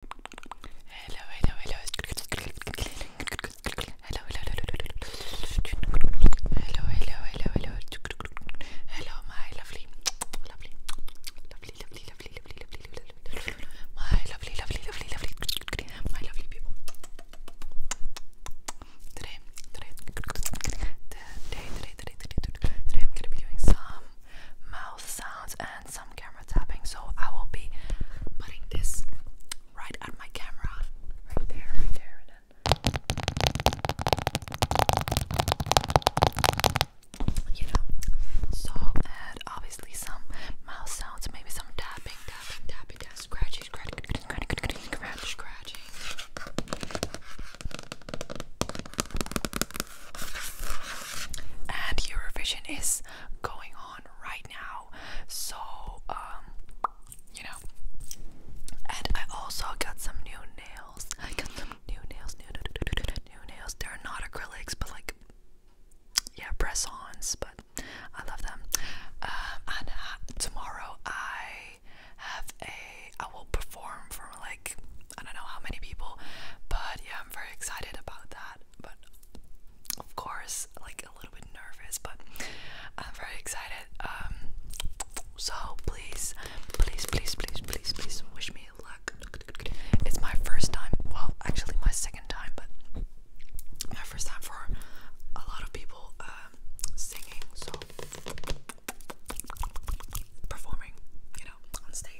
Hello, hello, hello. Hello, hello, hello. Hello, hello, hello, hello. Hello, my lovely, lovely, lovely, lovely, lovely, lovely, lovely, my lovely, lovely, lovely, lovely, my lovely people. Today, today, today, today, today, today, today, today, I'm gonna be doing some mouth sounds and some camera tapping. So I will be putting this right at my camera, right there, right there, and then you know. So and obviously some mouth sounds, maybe some tapping, tapping, tapping, tapping scratchy, scratchy, scratchy, and Eurovision is going on right now, so um, you know. And I also got some new nails. I got some new nails, new new nails. They're not acrylics, but like yeah, press-ons. But I love them. Um, and uh, tomorrow I have a. I will perform for like I don't know how many people, but yeah, I'm very excited about that. But of course, like a little bit nervous, but I'm very excited. Um, so please, please, please, please, please, please wish me luck. It's my first time. Well, actually, my second time, but my first time for a lot of people um, singing. So performing, you know, on stage.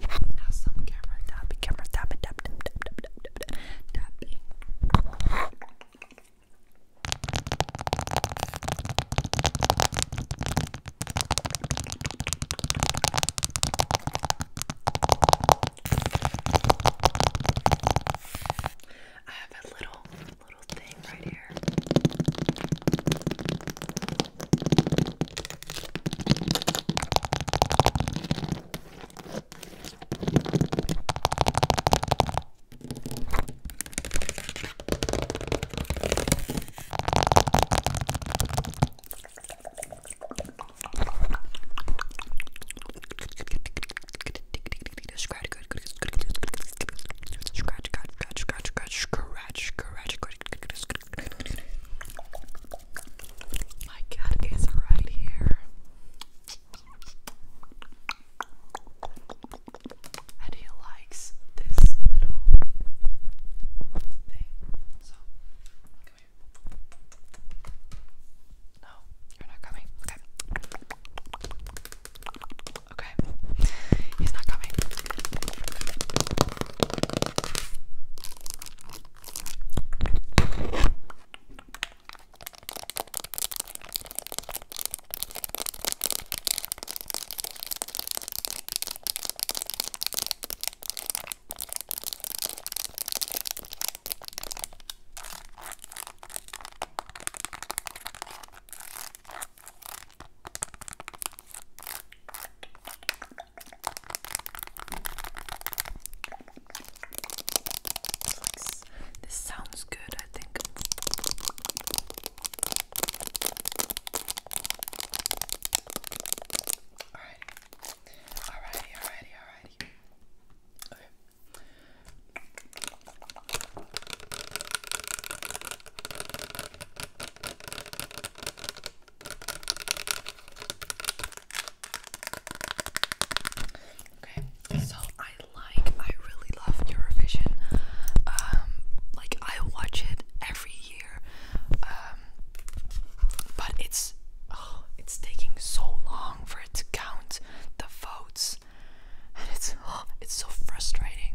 Now some camera tapping, camera tapping, tap, tap, tap, tap, tap, tap, tap, tapping. I have a little little thing right here. Scratch, good, good, good, good, Scratch, scratch, scratch, scratch, scratch, scratch, good, My cat is right here. And he likes this little thing. So, come here. No, you're not coming. Okay. Okay. He's not coming. This sounds good, I think. Alrighty. Alrighty, alrighty, alrighty. Okay. Okay, so I like, I really love Eurovision. Um, like I watch it every um, but it's oh, it's taking so long for it to count the votes, and it's oh, it's so frustrating.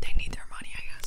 they need their money, I guess.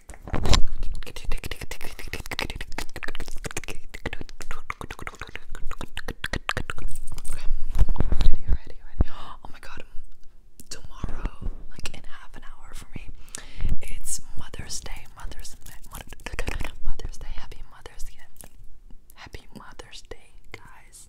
Oh my god. Tomorrow, like in half an hour for me, it's Mother's Day. Mother's Day. Mother's Day. Happy Mother's Day. Happy Mother's Day, guys.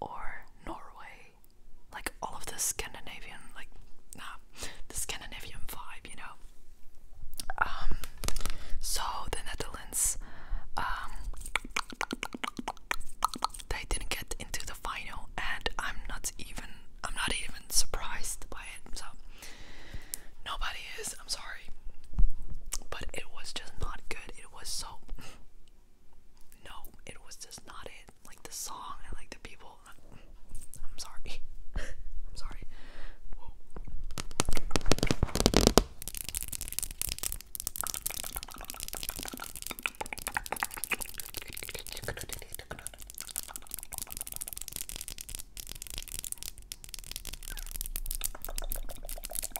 or Norway. Like all of the Scandinavian, like, nah, the Scandinavian vibe, you know. Um, so the Netherlands, um, they didn't get into the final, and I'm not even, I'm not even surprised by it. So nobody is. I'm sorry, but it was just not good. It was so no, it was just not it. Like the song and like the people. I'm sorry. I'm sorry.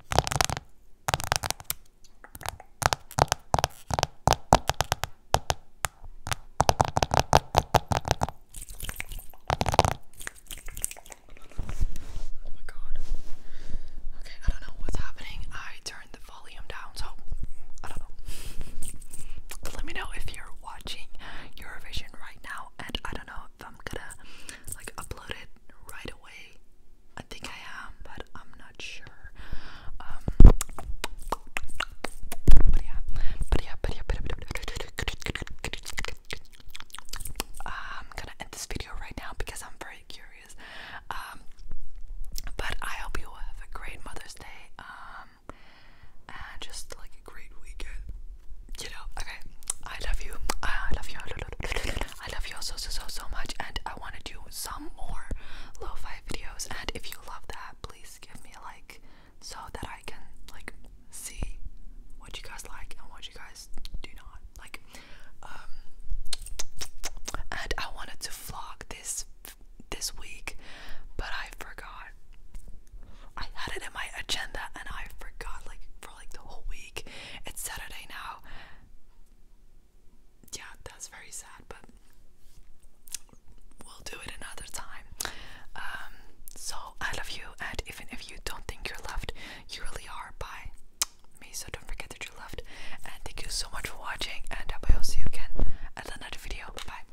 Oh my god. Okay, I don't know what's happening. I turned the volume down, so I don't know. Let me know if you're watching Eurovision right now, and I don't know if I'm gonna like upload right away. I think I am, but I'm not sure. Um, but yeah, but yeah, but yeah, but yeah. I'm gonna end this video right now because I'm very curious. Um, but I hope you have a great Mother's Day. Um, and just like great weekend. You know, okay. I love you. I love you. I love you so so so so much, and I want to do some more lo-fi videos. And if you love that, please give me a like so that I can like see what you guys like and what you guys do not like. Um, and I wanted to vlog this this week, but I forgot. I had it in my agenda and I forgot like for like the whole week. It's Saturday now. Yeah, that's very sad, but we'll do it another time. Um, so I love you and even if you don't think you're loved, you really are by me, so don't forget that you're loved. And thank you so much for watching and I will see you again at another video. Bye.